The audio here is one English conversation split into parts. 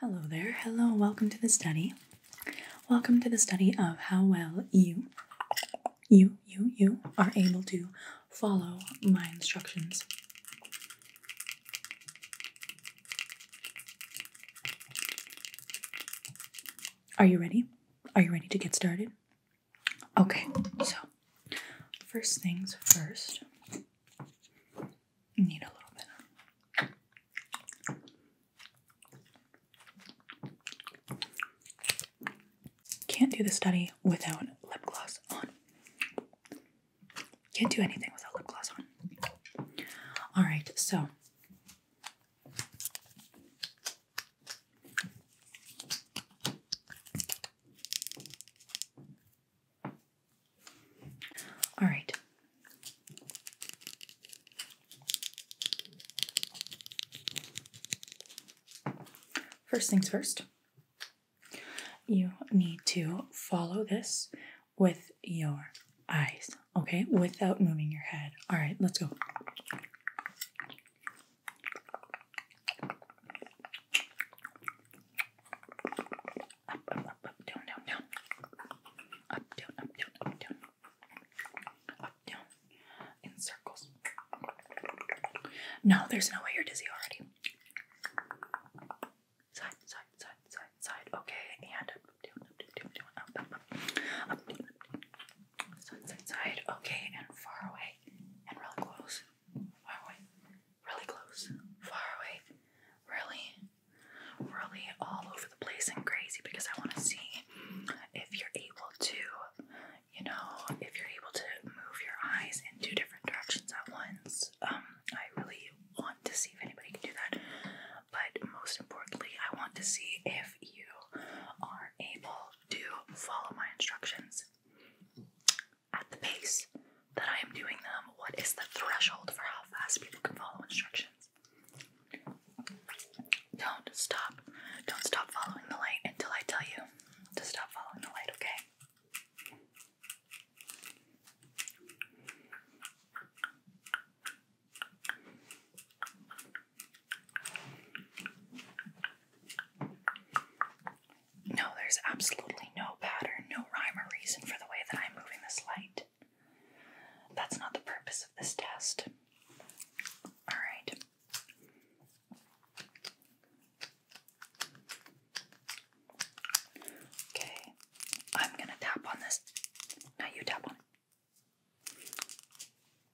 Hello there. Hello. Welcome to the study. Welcome to the study of how well you, you, you, you are able to follow my instructions. Are you ready? Are you ready to get started? Okay, so first things first, need a little bit. Can't do the study without lip gloss on. Can't do anything without lip gloss on. All right, so. All right. First things first, you need to follow this with your eyes, okay? Without moving your head. All right, let's go. Up, down, Up, down, up, down, up, down. Up, down. In circles. No, there's no way you're dizzy already. Side, side, side, side, side. Okay, and up, down, up, down, up, up, Up, down, up, down. Side, side, side. Okay, and far away. And really close. Far away really close, far away, really, really all over the place and crazy because I want to see if you're able to, you know, if you're able to move your eyes in two different directions at once. Um, I really want to see if anybody can do that, but most importantly, I want to see if you are able to follow my instructions at the pace that I am doing them, what is the threshold for how fast people can follow instructions? Don't stop. Don't stop following the light until I tell you to stop following the light, okay? No, there's absolutely no pattern, no rhyme or reason for the way that I'm moving this light. That's not the purpose of this test. Alright. Okay, I'm gonna tap on this. Now you tap on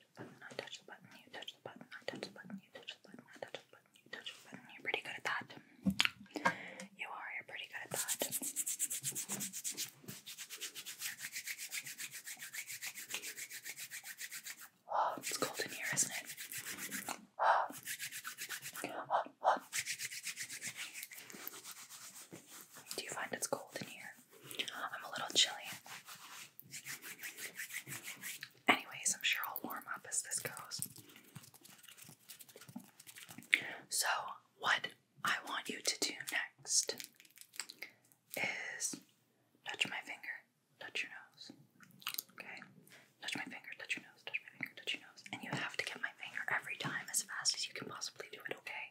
touch touch the button, you touch the button, I touch the button, you touch the button, you touch the button. You're pretty good at that. You are, you're pretty good at that. Oh, it's cold in here, isn't it? Oh, oh. Do you find it's cold in here? I'm a little chilly. Anyways, I'm sure I'll warm up as this goes. So, what I want you to do next is touch my finger, touch your nose. Okay? Touch my finger, touch your nose, touch my finger, touch your nose. And you have to get my finger every time as fast as you can possibly do it, okay?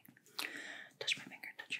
Touch my finger, touch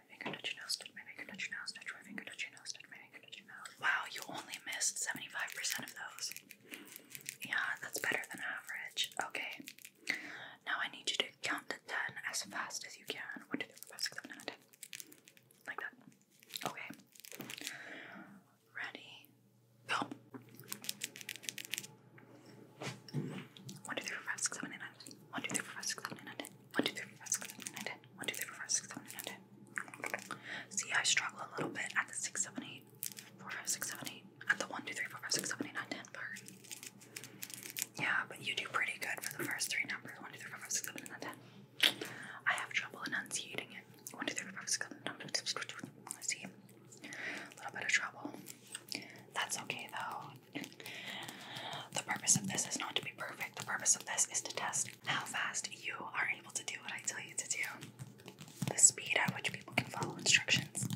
touch my finger, touch your nose, touch my finger, touch your nose, touch my finger, touch your nose, touch my finger, touch your nose. Wow, you only missed 75% of those. Yeah, that's better than average. Okay. Now I need you to count to 10 as fast as you can. 1, Like that. Okay. Ready? Go. 1, 2, 1, 2, 3, 4, 5, 6, 7, 8, 9, 10. 1, 2, 3, 4, 5, 6, 7, 8, 9, 10. See, I struggle a little bit at the 6, 7, 8, 4, 5, 6, 7, 8. At the 1, 2, 3, 4, 5, 6, 7, 8, 9, 10 part. Yeah, but you do pretty good for the first three numbers 1, 2, 3, 4, 5, 6, 7, 8, 9, 10. I have trouble enunciating it. 1, 2, 3, 4, 5, 6, 7, 8, 9, 10. See, a little bit of trouble. That's okay though. The purpose of this is not to be perfect. The purpose of this is to test how fast you are able to do what I tell you to do. The speed at which people can follow instructions.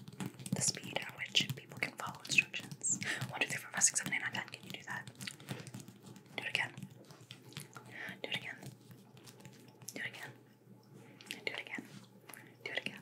The speed at which people can follow instructions. 1, Can you do that? Do it again. Do it again. Do it again. Do it again. Do it again.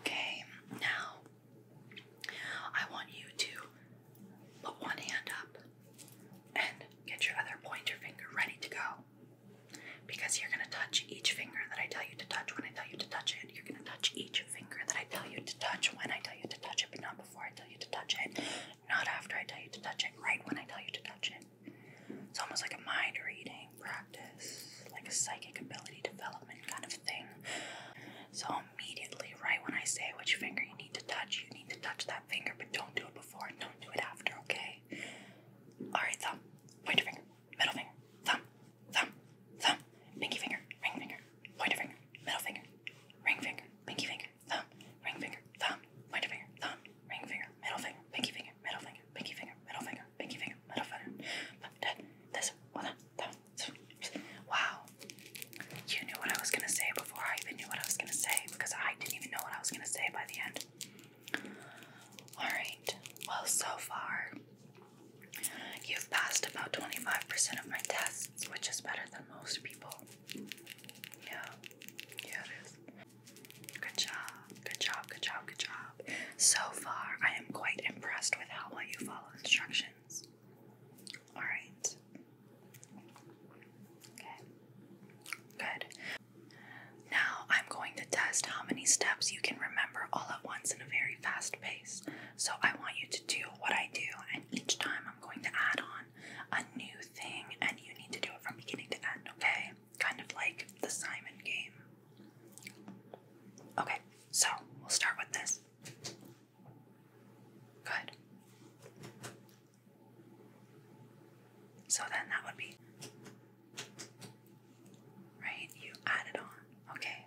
Okay, now I want you to put one hand up and get your other pointer finger ready to go. Because you're going to touch each finger that I tell you to touch when I tell you to touch it. You're going to touch each finger that I tell you to touch when I tell you to touch it, but not before I tell you to touch it, not after I tell you to touch it, right when I tell you to touch it. It's almost like a mind reading practice, like a psychic ability development kind of thing. So, immediately, right when I say which finger you need to touch, you need to touch that finger, but don't do it before and don't do it after, okay? Alright, thumb, pointer finger, middle finger, thumb, thumb, thumb, pinky finger, ring finger, pointer finger, middle finger, ring finger, pinky finger, thumb, ring finger, thumb, pointer finger, thumb, ring finger, middle finger, pinky finger, middle finger, pinky finger, middle finger, pinky finger, middle finger. But this, well, that, wow. You knew what I was gonna say before I even knew what I was gonna say because I didn't even know what I was gonna say by the end. Alright, well, so far, you've passed about 25% of my tests, which is better than most people. Yeah, yeah, it is. Good job, good job, good job, good job. So far, I am quite impressed with how well you follow instructions. All right. Okay. Good. Now I'm going to test how many steps you can remember all at once in a very fast pace. So I want you to do what I do, and each time I'm going to add on a new thing and you need to do it from beginning to end, okay? Kind of like the Simon game. Okay, so we'll start with this. Good. So then that would be. Right? You add it on. Okay.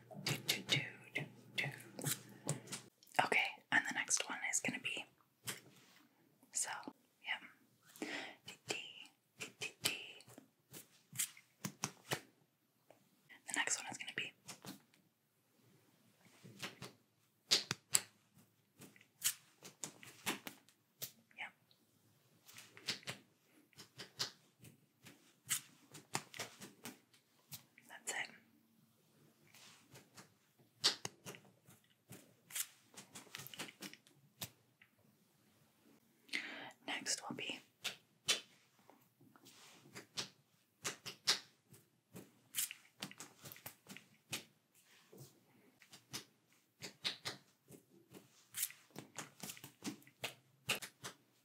Okay, and the next one is gonna be so, yeah. The next one is gonna be. Yep. That's it. Next will be